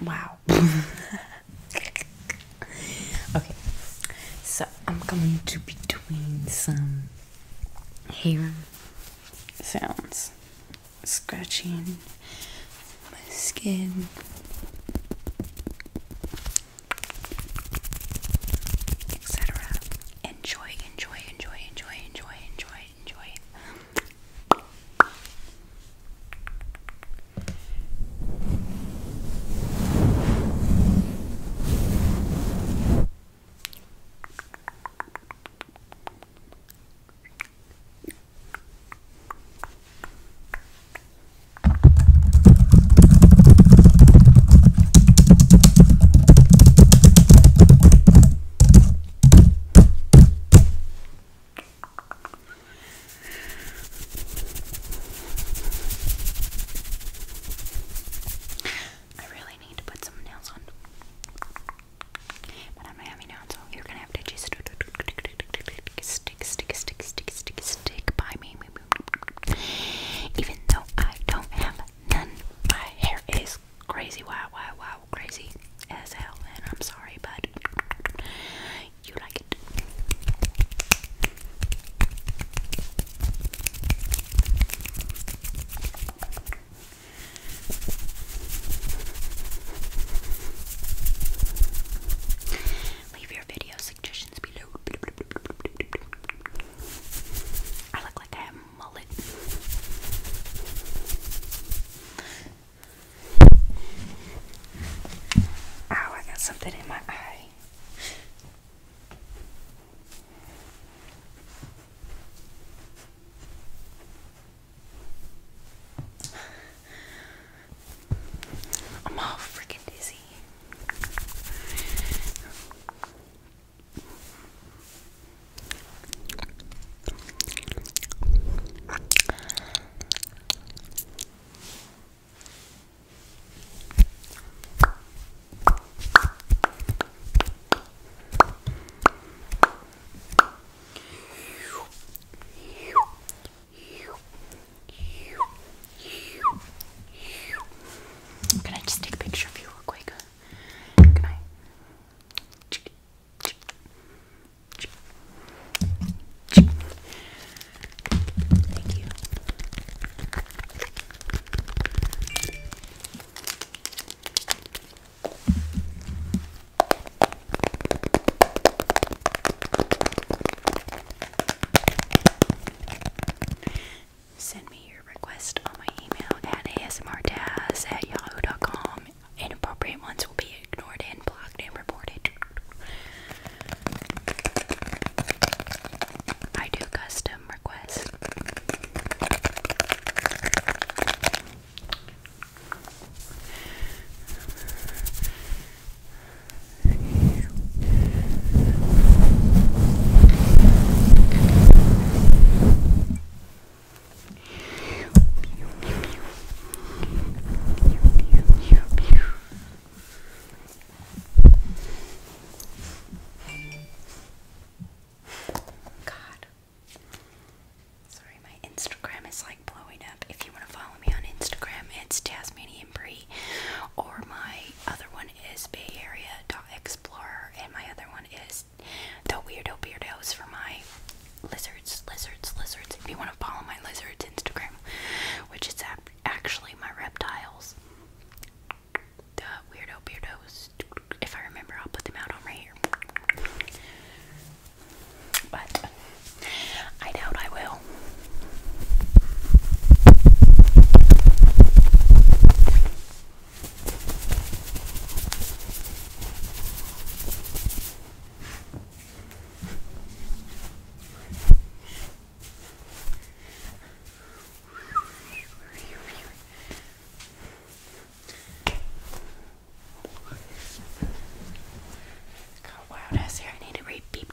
wow. okay, so I'm going to between some hair sounds, scratching my skin. Etc. Enjoy, enjoy, enjoy, enjoy, enjoy, enjoy, enjoy it. I really need to put some nails on. But I'm not having nails, so you're gonna have to just stick, stick, stick, stick, stick by me. Even though I don't have none, my hair is crazy, wow, wow, wow, crazy as hell, and I'm sorry, but you like it. Leave your video suggestions below. I look like I have mullet. Ow, I got something in my eye. I'm all freaking dizzy. Can I just take a picture of you real quick? Can I? Send me your request on my email at asmrtaz at yahoo.com inappropriate ones will be ignored and blocked and reported. I do custom requests. God. Sorry, my Instagram is like blowing up. If you want to follow me on Instagram, it's Tasmanian Bree, or my other one is Bay Area Explorer, and my other one is the weirdo beardos for my lizards, lizards, lizards. If you want to follow my lizards Instagram, which is actually my reptiles, the weirdo beardos. If I remember, I'll put them out on right here. But I doubt I will. How loud is here? I need to read beep.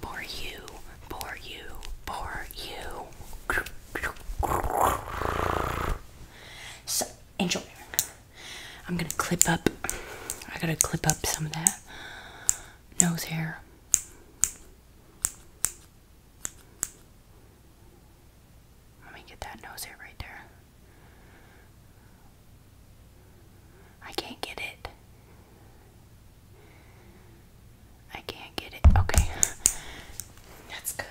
for you, for you, for you. So Angel, I'm gonna clip up. I gotta clip up some of that nose hair. Let me get that nose hair right there. I can't get it. I can't get it. Okay. That's good.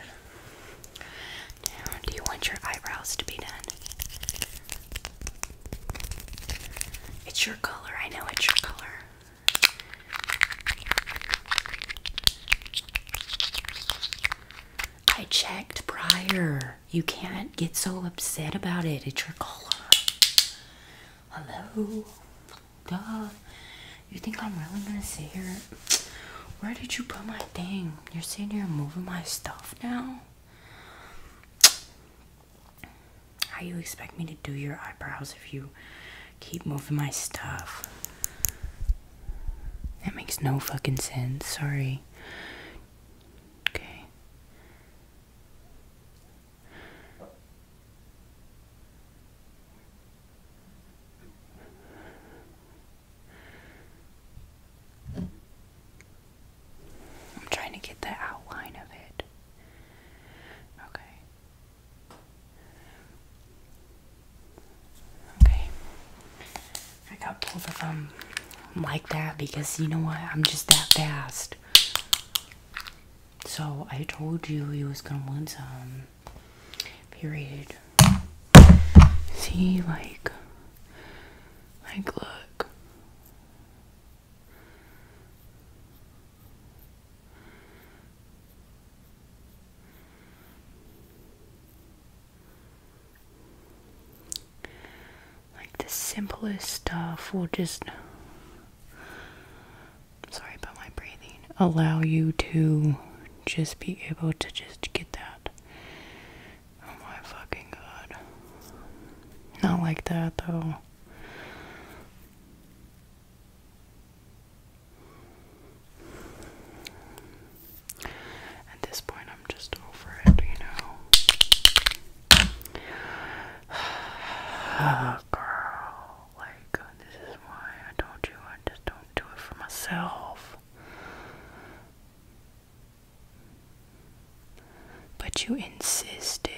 do you want your eyebrows to be done? It's your color. I know it's your color. I checked prior. You can't get so upset about it. It's your color. Hello? Duh. You think I'm really gonna sit here? Where did you put my thing? You're sitting here moving my stuff now? How you expect me to do your eyebrows if you keep moving my stuff? That makes no fucking sense. Sorry. Okay. I'm trying to get the outline of it. Okay. Okay. I got both of them like that because you know what? I'm just that fast. So I told you he was gonna want some. Period. See, like, like, look. Like the simplest stuff will just. Sorry about my breathing. Allow you to just be able to just get that. Oh my fucking god. Not like that though. At this point, I'm just over it, you know. girl, like this is why I told you I just don't do it for myself. But you insisted.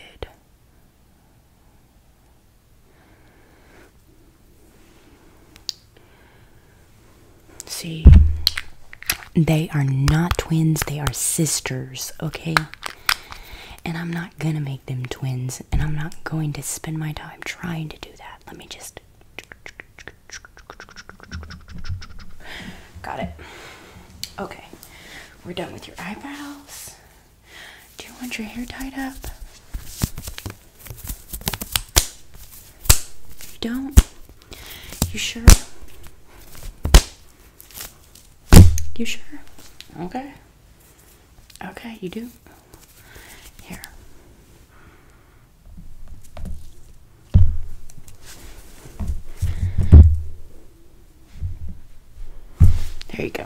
See, they are not twins, they are sisters, okay? And I'm not gonna make them twins, and I'm not going to spend my time trying to do that. Let me just. Got it. Okay, we're done with your eyebrows. Do you want your hair tied up? You don't? You sure? You sure? Okay. Okay, you do. Here. There you go.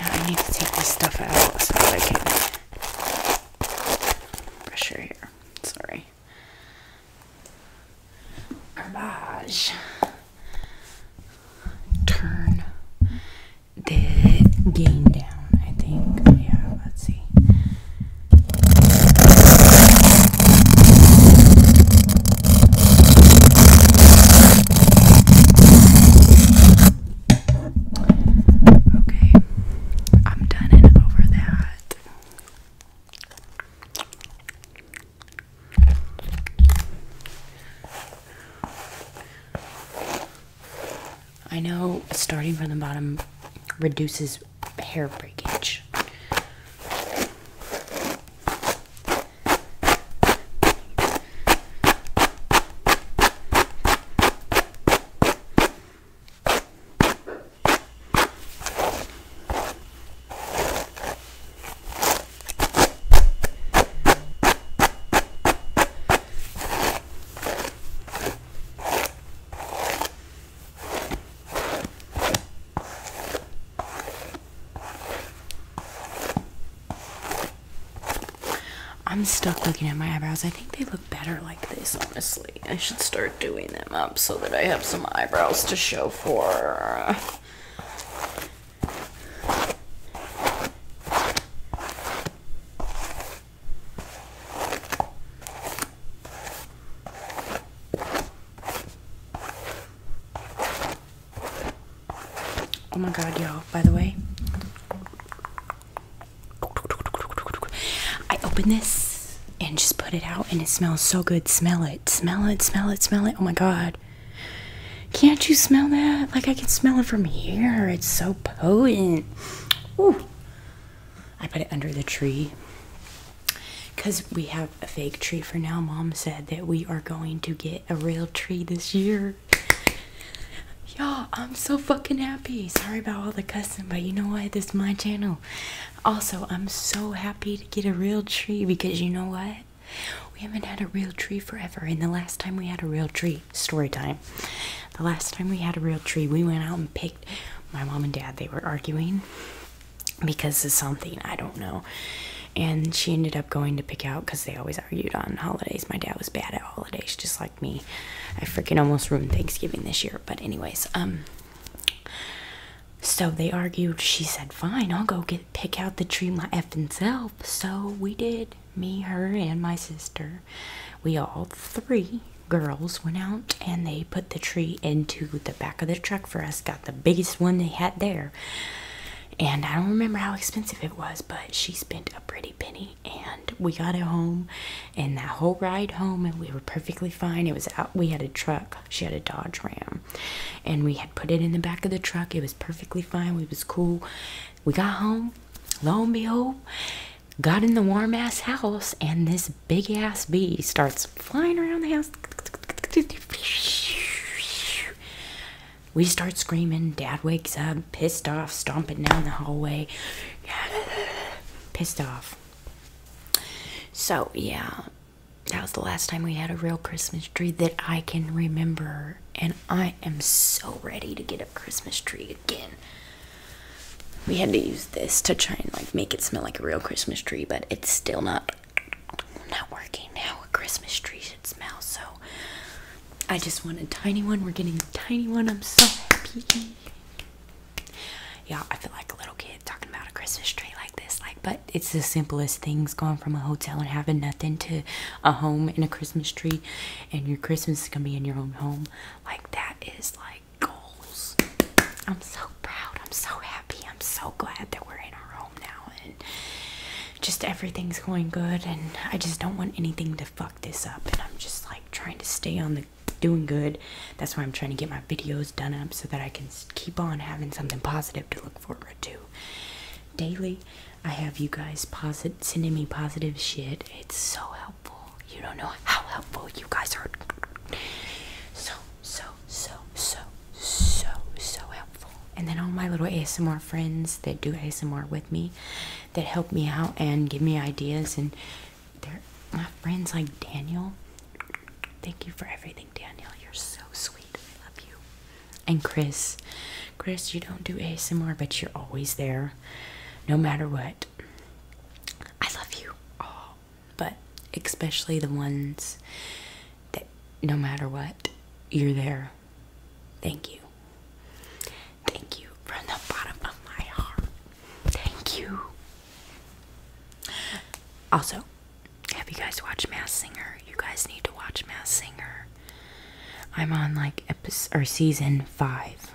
Now I need to take this stuff out so I can pressure here. Sorry. Garbage. Turn the gain down, I think. Yeah, let's see. Okay, I'm done and over that. I know starting from the bottom reduces hair breakage. I'm stuck looking at my eyebrows. I think they look better like this, honestly. I should start doing them up so that I have some eyebrows to show for. Oh my god, y'all, by the way, I open this and just put it out, and it smells so good. Smell it, smell it, smell it, smell it. Oh my god. Can't you smell that? Like I can smell it from here. It's so potent. I put it under the tree. Cause we have a fake tree for now. Mom said that we are going to get a real tree this year. Y'all, I'm so fucking happy. Sorry about all the cussing, but you know what? This is my channel. Also, I'm so happy to get a real tree because you know what? We haven't had a real tree forever. And the last time we had a real tree, story time. The last time we had a real tree, we went out and picked my mom and dad. They were arguing because of something, I don't know. And she ended up going to pick out because they always argued on holidays. My dad was bad at holidays, just like me. I freaking almost ruined Thanksgiving this year. But anyways, um so they argued. She said, "Fine, I'll go get pick out the tree my effing self." So we did. Me, her, and my sister. We all three girls went out and they put the tree into the back of the truck for us. Got the biggest one they had there. And I don't remember how expensive it was, but she spent a pretty penny. And we got it home and that whole ride home and we were perfectly fine it was out we had a truck she had a dodge ram and we had put it in the back of the truck it was perfectly fine we was cool we got home lo and behold got in the warm ass house and this big ass bee starts flying around the house we start screaming dad wakes up pissed off stomping down the hallway pissed off so, yeah, that was the last time we had a real Christmas tree that I can remember. And I am so ready to get a Christmas tree again. We had to use this to try and like make it smell like a real Christmas tree, but it's still not not working now. A Christmas tree should smell, so I just want a tiny one. We're getting a tiny one. I'm so happy you I feel like a little kid talking about a Christmas tree like this. Like, but it's the simplest things going from a hotel and having nothing to a home and a Christmas tree, and your Christmas is gonna be in your own home. Like that is like goals. I'm so proud. I'm so happy. I'm so glad that we're in our home now, and just everything's going good. And I just don't want anything to fuck this up. And I'm just like trying to stay on the doing good. That's why I'm trying to get my videos done up so that I can keep on having something positive to look forward to. Daily, I have you guys positive sending me positive shit. It's so helpful. You don't know how helpful you guys are. So, so, so, so, so, so helpful. And then all my little ASMR friends that do ASMR with me that help me out and give me ideas and my friends like Daniel. Thank you for everything, Daniel. You're so sweet. I love you. And Chris. Chris, you don't do ASMR, but you're always there. No matter what. I love you all. But especially the ones that no matter what, you're there. Thank you. Thank you from the bottom of my heart. Thank you. Also, have you guys watched Mass Singer? You guys need to watch Mass Singer. I'm on like episode or season five.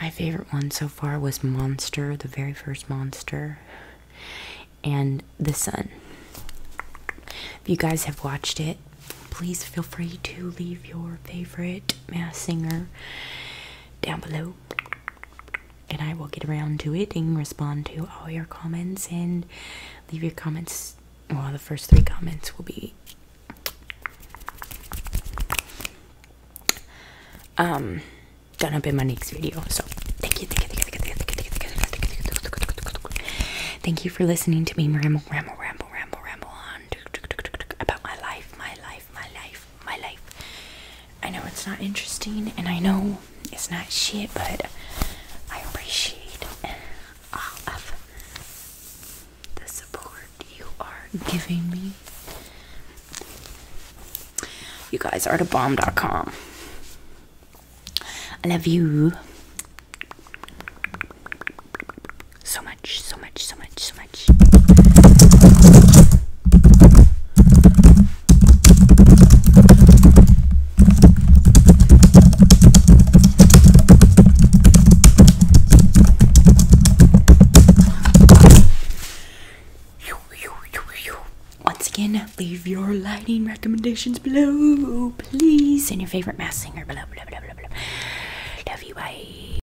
My favorite one so far was Monster, the very first Monster, and The Sun. If you guys have watched it, please feel free to leave your favorite Mass Singer down below and I will get around to it and respond to all your comments and leave your comments. Well, the first three comments will be um done up in my next video. So thank you, thank you, thank you, thank you, thank you, thank you, thank you for listening to me ramble, ramble, ramble, ramble, ramble on about my life, my life, my life my life. I know it's not interesting and I know it's not shit, but I appreciate all of the support you are giving me. You guys are the bomb.com. I love you so much much, so much, so much, so much. You, you, you, you. Once again, leave your lighting recommendations below, please, and your favorite mass singer below, below, below, below, below. Love you, bye.